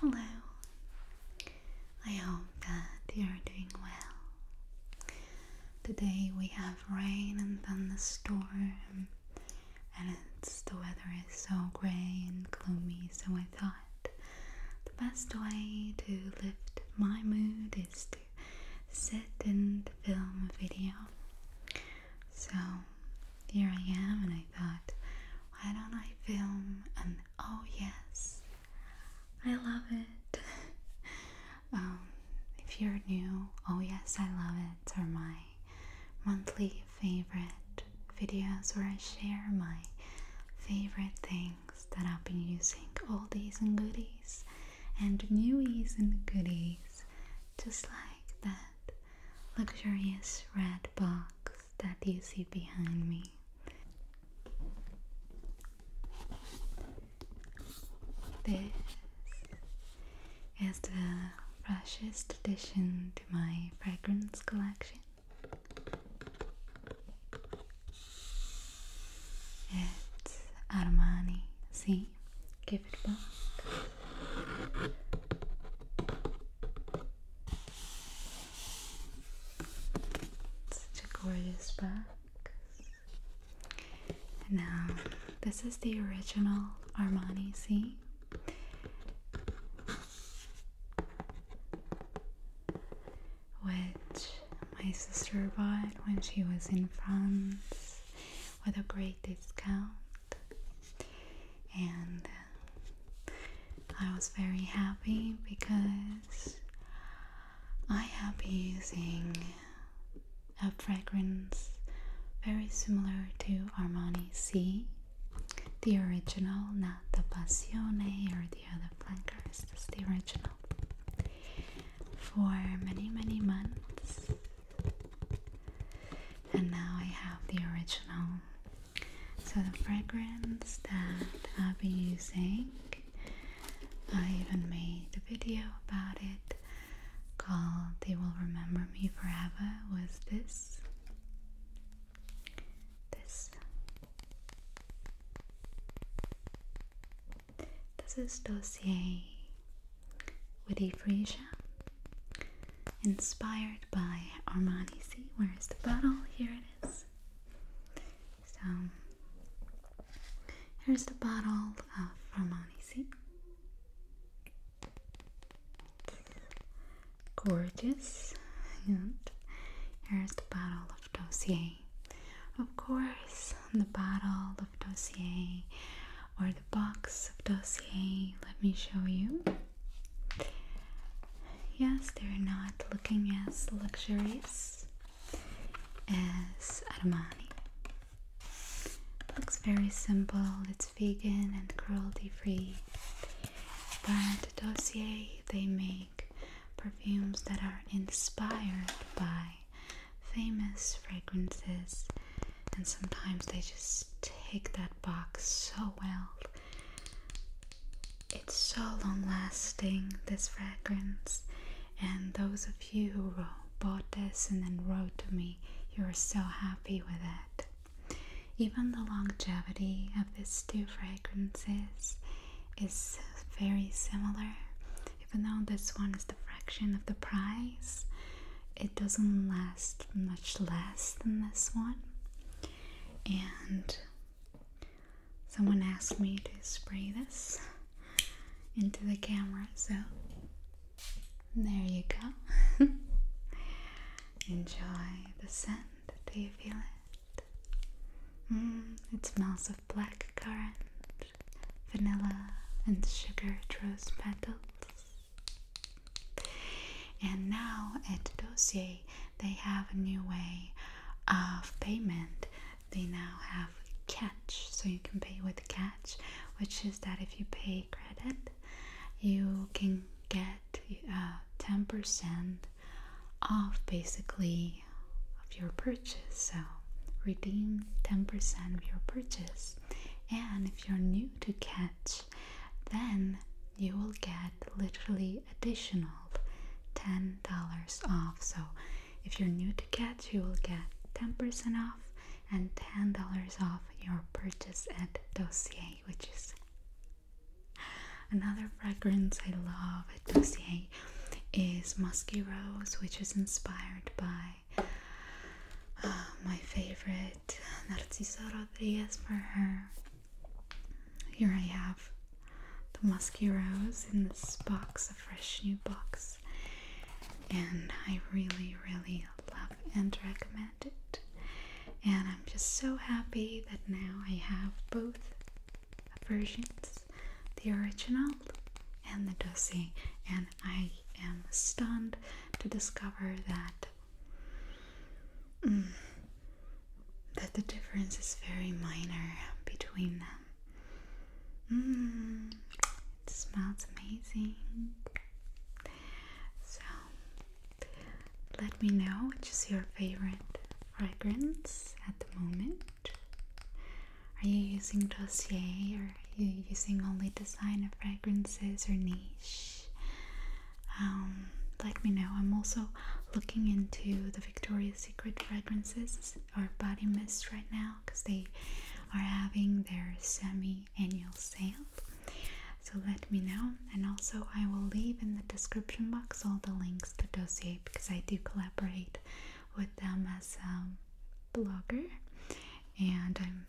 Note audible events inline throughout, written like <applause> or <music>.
Hello, I hope that you're doing well. Today we have rain and thunderstorm, and the weather is so grey and gloomy, so I thought the best way to lift my mood is to sit and film a video. So here I am, and I thought, why don't I film And oh, yes, I love it. <laughs> Um, if you're new, oh, yes, I love it are my monthly favorite videos where I share my favorite things that I've been using oldies and goodies and newies and goodies just like that luxurious red box that you see behind me. This is the freshest addition to my fragrance collection. It's Armani, see? give it back. Such a gorgeous box. now, this is the original Armani, see? Which my sister bought when she was in France with a great discount and uh, I was very happy because I have been using a fragrance very similar to Armani C the original, not the Passione or the other fragrances. the original for many, many months. And now I have the original. So, the fragrance that I've been using, I even made a video about it called They Will Remember Me Forever, was this. This. This is Dossier with Frisia, inspired by Armani. See, where is the bottle? Here it is. So, here's the bottle of Armani. See, gorgeous. And here's the bottle of Dossier. Of course, the bottle dossier or the box of dossier. Let me show you. Yes, they're not looking as luxurious as Armani. Looks very simple, it's vegan and cruelty free. But Dossier, they make perfumes that are inspired by famous fragrances, and sometimes they just take that box so well. It's so long lasting, this fragrance, and those of you who bought this and then wrote to me, you were so happy with it. Even the longevity of these two fragrances is very similar, even though this one is the fraction of the price, it doesn't last much less than this one. And someone asked me to spray this into the camera, so there you go. <laughs> Enjoy the scent. Do you feel it? Mm, it smells of black currant vanilla and sugar rose petals. And now at Dossier, they have a new way of payment. They now have catch, so you can pay with catch, which is that if you pay credit, you can get uh, ten percent off basically of your purchase. So redeem 10% of your purchase. And if you're new to Catch, then you will get literally additional $10 off. So if you're new to Catch, you will get 10% off and $10 off your purchase at Dossier, which is another fragrance I love at Dossier is Musky Rose, which is inspired by uh, my favorite Narciso Rodriguez for her. Here I have the Musky Rose in this box, a fresh new box, and I really, really love and recommend it. And I'm just so happy that now I have both versions the original and the dossier, and I am stunned to discover that mm, that the difference is very minor between them. Mm, it smells amazing. So let me know which is your favorite fragrance at the moment. Are you using dossier or are you using only designer fragrances or niche? Um, let me know. I'm also looking into the Victoria's Secret fragrances or body mist right now because they are having their semi-annual sale. So let me know, and also I will leave in the description box all the links to dossier because I do collaborate with them as a blogger, and I'm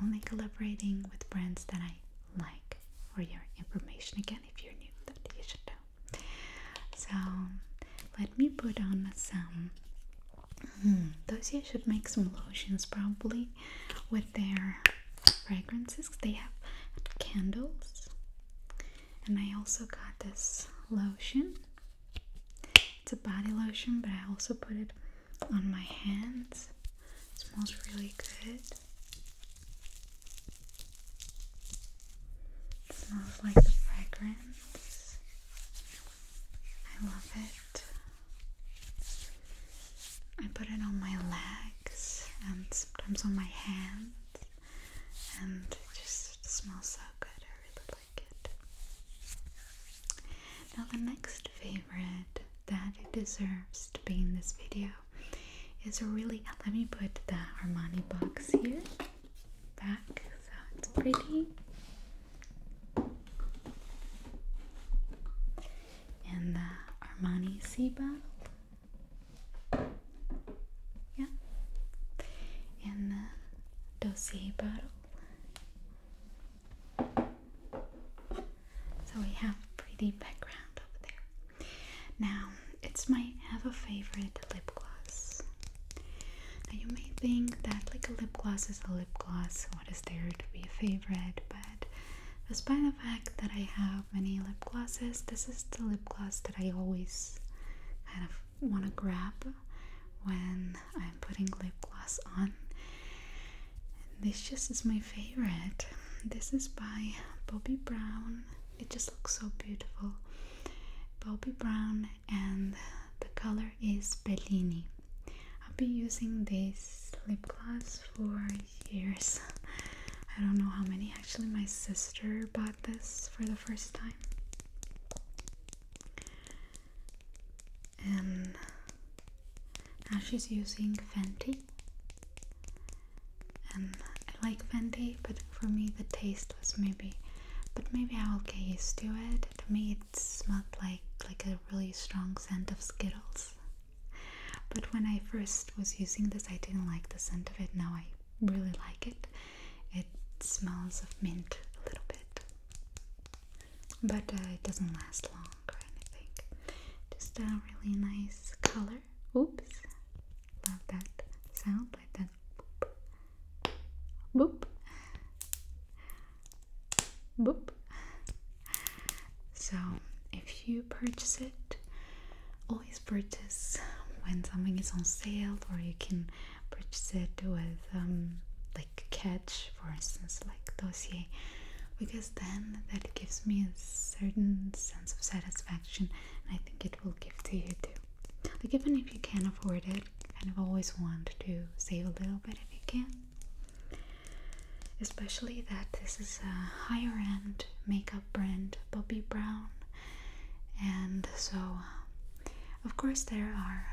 only collaborating with brands that I like. For your information, again, if you're new, that you should know. So let me put on some. Hmm, those Dossier should make some lotions probably with their fragrances. They have candles, and I also got this lotion it's a body lotion, but I also put it on my hands. It smells really good. smells like the fragrance. I love it. I put it on my legs and sometimes on my hands, and it just smells so good. I really now, the next favorite that it deserves to be in this video is a really. Uh, let me put the Armani box here back so it's pretty. And the Armani sea bottle. Yeah. And the dossier bottle. So we have pretty background over there. Now, it's my ever favorite lip gloss. Now, you may think that like a lip gloss is a lip gloss, what is there to be a favorite? But despite the fact that I have many lip glosses, this is the lip gloss that I always kind of want to grab when I'm putting lip gloss on. this just is my favorite. This is by Bobbi Brown. It just looks so beautiful. Bobbi Brown and the color is Bellini. I've been using this lip gloss for years. I don't know how many. Actually, my sister bought this for the first time and now she's using Fenty and I like Fenty but for me the taste was maybe but maybe I will get used to it to me it smelled like like a really strong scent of Skittles but when I first was using this I didn't like the scent of it now I really like it. It smells of mint a little bit, but uh, it doesn't last long or anything. Just a really nice color. Oops, love that sound like that. Boop, boop. So, if you purchase it, always purchase when something is on sale or you can purchase it with um, like catch for instance like dossier because then that gives me a certain sense of satisfaction and I think it will give to you too like even if you can't afford it kind of always want to save a little bit if you can especially that this is a higher end makeup brand Bobbi Brown and so of course there are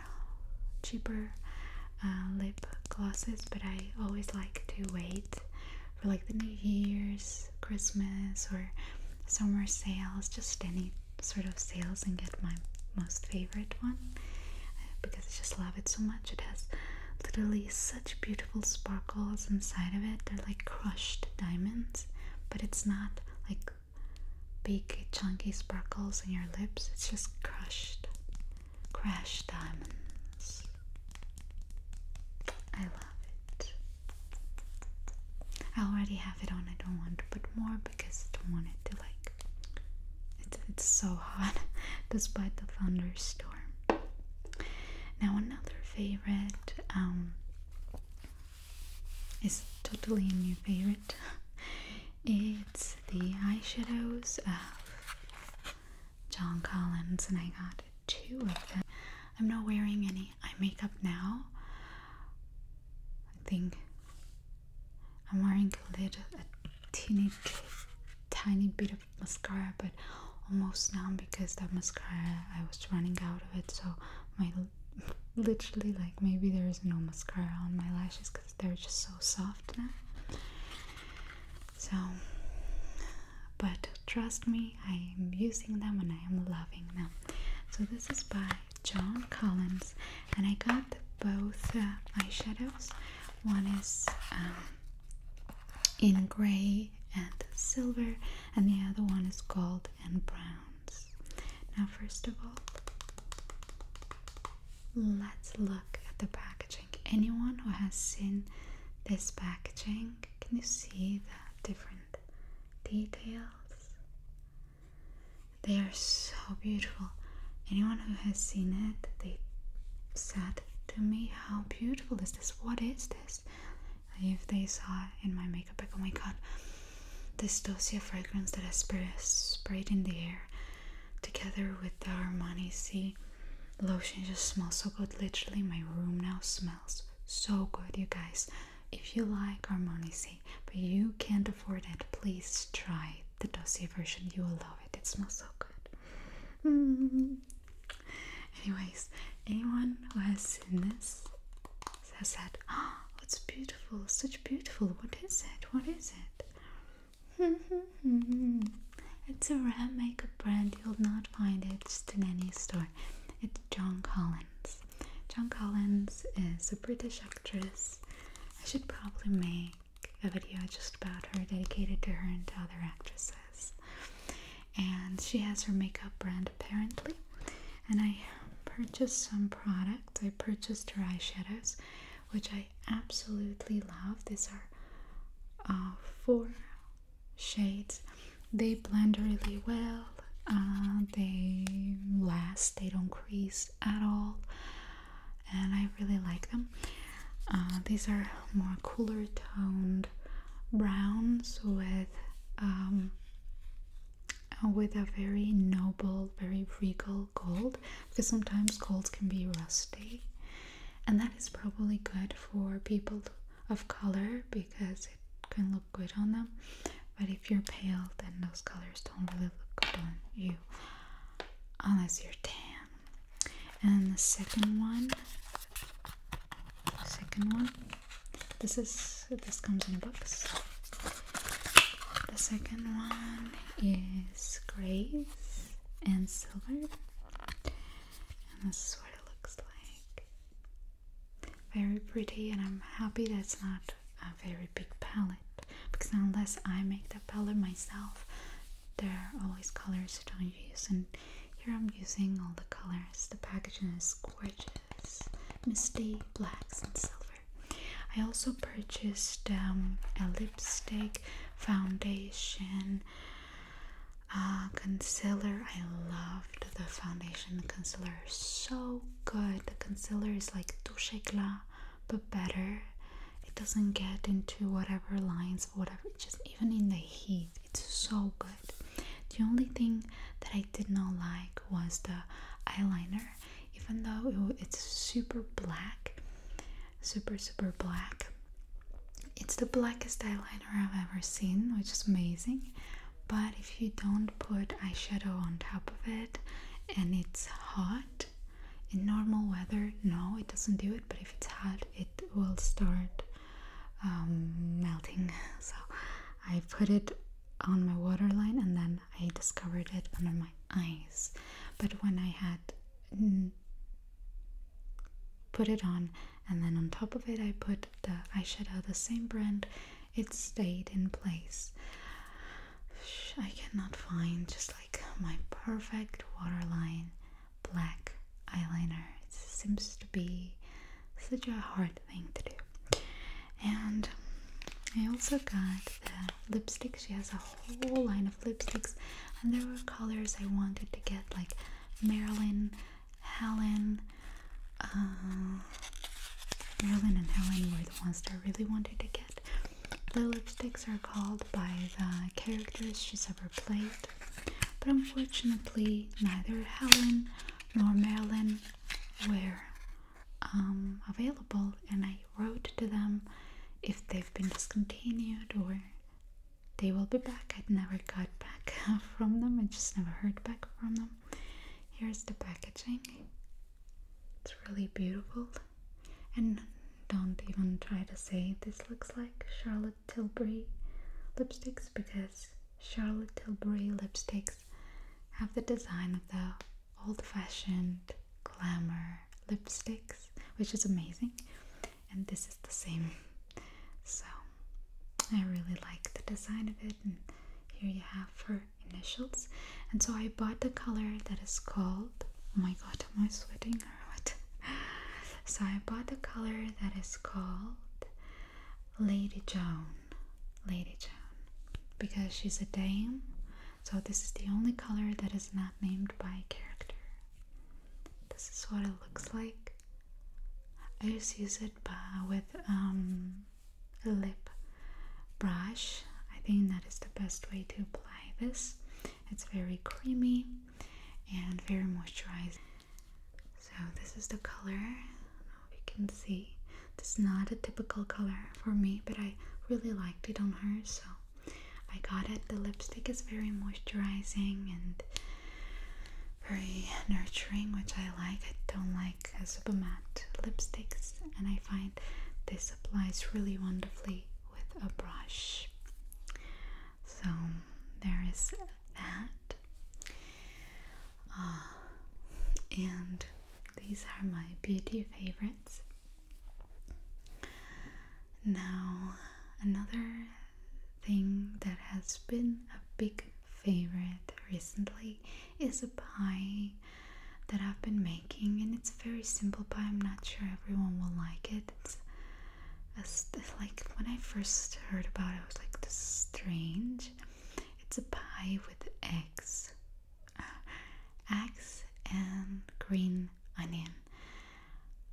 cheaper uh, lip glosses but I always like to wait for like the New Year's, Christmas or summer sales, just any sort of sales and get my most favorite one because I just love it so much. It has literally such beautiful sparkles inside of it. They're like crushed diamonds, but it's not like big chunky sparkles in your lips. It's just crushed, crushed diamonds. I love it. I already have it on. I don't want to put more because I don't want it to like. It's it's so hot <laughs> despite the thunderstorm. Now another favorite um it's totally a new favorite. It's the eyeshadows of John Collins, and I got two of them. I'm not wearing any eye makeup now. I think I'm wearing a little, a teeny, tiny bit of mascara, but almost none because that mascara I was running out of it, so my literally like maybe there is no mascara on my lashes because they're just so soft now. So, but trust me, I am using them and I am loving them. So this is by John Collins, and I got both uh, eyeshadows. One is um, in gray and silver, and the other one is gold and brown. Now, first of all, let's look at the packaging. Anyone who has seen this packaging, can you see the different details? They are so beautiful. Anyone who has seen it, they said to me, How beautiful is this? What is this? if they saw in my makeup bag, oh my god, this dossier fragrance that I spray, sprayed in the air together with the Armani C lotion just smells so good. Literally, my room now smells so good, you guys. If you like Armani C, but you can't afford it, please try the dossier version. You will love it. It smells so good. <laughs> Anyways, anyone who has seen this I said, oh, it's beautiful, such beautiful. What is it? What is it? <laughs> it's a rare makeup brand. You'll not find it just in any store. It's John Collins. John Collins is a British actress. I should probably make a video just about her, dedicated to her and to other actresses. And she has her makeup brand apparently and I purchased some products. I purchased her eyeshadows, which I absolutely love. These are uh, four shades. They blend really well. Uh, they last. They don't crease at all, and I really like them. Uh, these are more cooler toned browns with um, uh, with a very noble, very regal gold because sometimes golds can be rusty, and that is probably good for people of color because it can look good on them. But if you're pale, then those colors don't really look good on you unless you're tan. And the second one, second one this is this comes in a box. The second one is gray and silver, and this is what it looks like. Very pretty, and I'm happy that's not a very big palette because unless I make the palette myself, there are always colors don't use, and here I'm using all the colors. The packaging is gorgeous such misty blacks and silver. I also purchased um, a lipstick, foundation, uh, concealer. I loved the foundation the concealer, so good. The concealer is like touche éclat, but better. It doesn't get into whatever lines, whatever. Just even in the heat, it's so good. The only thing that I did not like was the eyeliner, even though it's super black, super, super black. It's the blackest eyeliner I've ever seen, which is amazing. But if you don't put eyeshadow on top of it and it's hot, in normal weather, no, it doesn't do it. But if it's hot, it will start um, melting. <laughs> So I put it on my waterline and then I discovered it under my eyes. But when I had put it on and then on top of it I put the eyeshadow, the same brand, it stayed in place. I cannot find just like my perfect waterline black eyeliner. It seems to be such a hard thing to do. And I also got the lipstick. She has a whole line of lipsticks, and there were colors I wanted to get, like Marilyn, Helen. Uh, Marilyn and Helen were the ones that I really wanted to get. The lipsticks are called by the characters she's ever played, but unfortunately, neither Helen nor Marilyn were um, available and I wrote to them if they've been discontinued or they will be back. i never got back <laughs> from them, I just never heard back from them. Here's the packaging, it's really beautiful. And don't even try to say this looks like Charlotte Tilbury lipsticks because Charlotte Tilbury lipsticks have the design of the old-fashioned glamour lipsticks, which is amazing. And this is the same. So I really like the design of it. And here you have her initials. And so I bought the color that is called. Oh my god, am I sweating or what? So I bought the color that is called Lady Joan. Lady Joan because she's a dame. So this is the only color that is not named by character. This is what it looks like. I just use it uh, with um, a lip brush. I think that is the best way to apply this. It's very creamy and very moisturizing. So this is the color. If you can see, this is not a typical color for me, but I really liked it on her, so I got it. The lipstick is very moisturizing and very nurturing, which I like. I don't like super matte lipsticks, and I find this applies really wonderfully with a brush. So there is that. Uh, and these are my beauty favorites. Now, another thing that has been a big favorite recently is a pie that I've been making, and it's a very simple pie. I'm not sure everyone will like it. It's, it's like when I first heard about it, I was like, this is strange. It's a pie with eggs, eggs and green onion.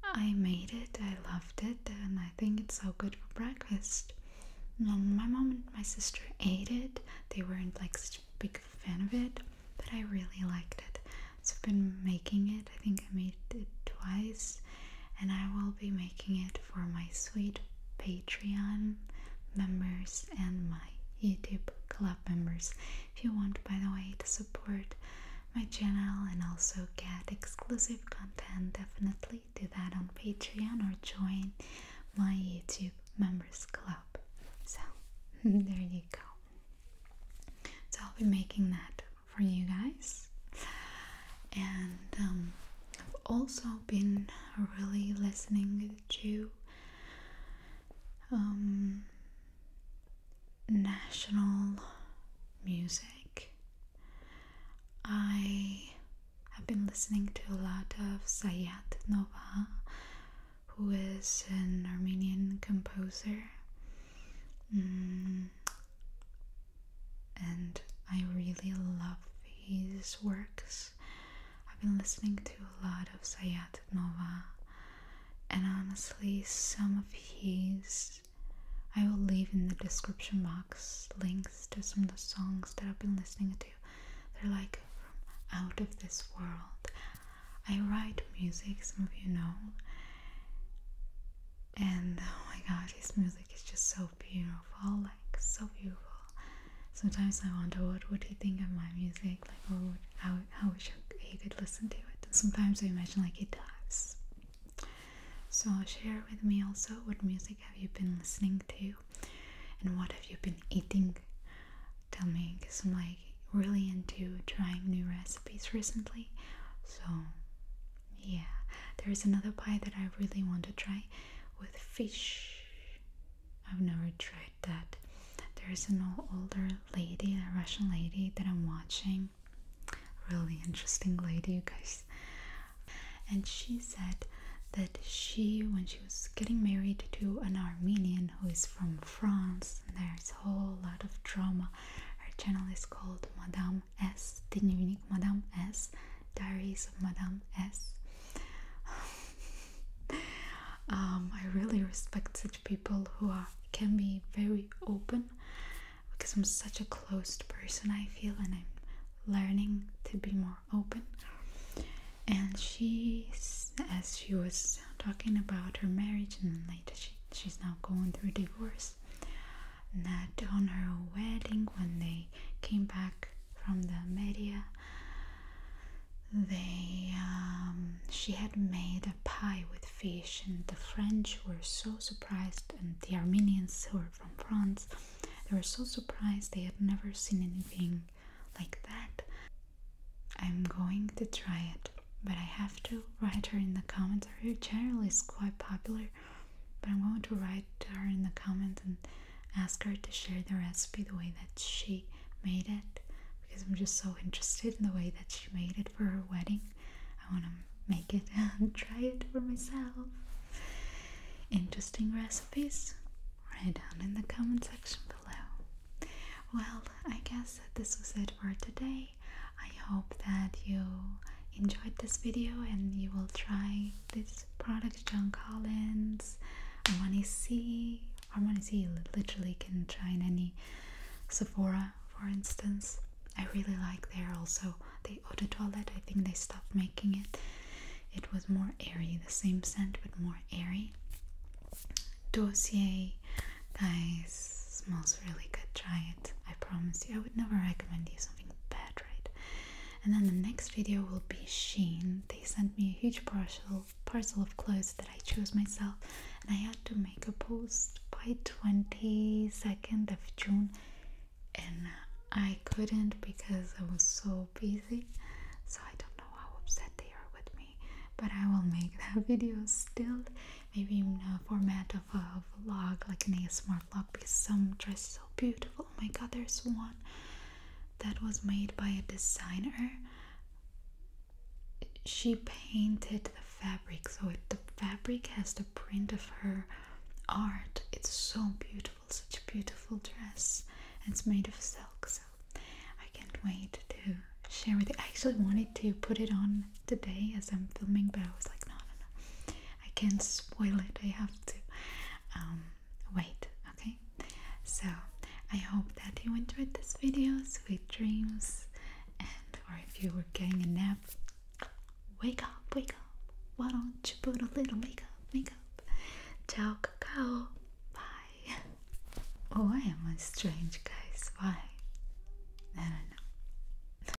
I made it, I loved it, and I think it's so good for breakfast. my mom and my sister ate it. They weren't like such big fan of it, but I really liked it. So I've been making it. I think I made it twice and I will be making it for my sweet Patreon members and my YouTube club members. If you want, by the way, to support my channel and also get exclusive content, definitely do that on Patreon or join my YouTube members club. So, <laughs> there you go. So, I'll be making that for you guys. And um, I've also been really listening to um, national music. I have been listening to a lot of Sayat Nova, who is an Armenian composer. Mm, and I really love his works. I've been listening to a lot of Sayat Nova, and honestly, some of his. I will leave in the description box links to some of the songs that I've been listening to. They're like from out of this world. I write music, some of you know. And oh my god, his music is just so beautiful, like so beautiful. Sometimes I wonder what would he think of my music, like what would, how how wish he could listen to it. And sometimes I imagine like he does. So share with me also what music have you been listening to, and what have you been eating? Tell me, cause I'm like really into trying new recipes recently. So yeah, there is another pie that I really want to try with fish. I've never tried that. There's an older lady, a Russian lady that I'm watching. Really interesting lady, you guys. And she said that she, when she was getting married to an Armenian who is from France, there's a whole lot of drama. Her channel is called Madame S, the unique Madame S, Diaries of Madame S. <laughs> Um, I really respect such people who can be very open because I'm such a closed person, I feel, and I'm learning to be more open. And she, as she was talking about her marriage, and later she, she's now going through divorce that on her wedding when they came back from the media they um, she had made a pie with fish and the french were so surprised and the armenians who were from france they were so surprised they had never seen anything like that i'm going to try it but i have to write her in the comments her channel is quite popular but I'm going to write to her in the comments and ask her to share the recipe the way that she made it because I'm just so interested in the way that she made it for her wedding. I want to make it <laughs> and try it for myself. Interesting recipes? Write down in the comment section below. Well, I guess this was it for today. I hope that you enjoyed this video and you will try this product John Collins Armani C Armani C you literally can try in any Sephora for instance I really like their also the eau Toilet. I think they stopped making it it was more airy the same scent but more airy dossier guys smells really good try it I promise you I would never recommend these bad, right? And then the next video will be Shein. They sent me a huge parcel parcel of clothes that I chose myself, and I had to make a post by 22nd of June, and I couldn't because I was so busy. So I don't know how upset they are with me, but I will make <laughs> that video still, maybe in a format of a vlog, like an ASMR because some dress so beautiful. Oh my god, there's one that was made by a designer. She painted the fabric, so the fabric has the print of her art. It's so beautiful, such beautiful dress. It's made of silk, so I can't wait to share with you. I actually wanted to put it on today as I'm filming, but I was like, no, no, no. I can't spoil it. I have to um, wait. Okay. So I hope that you enjoyed this video. Sweet dreams, and or if you were getting a nap, wake up, wake up. Why don't you put a little makeup, makeup? Ciao, cacao. Bye. Oh, I am a strange guys. Why? I don't know.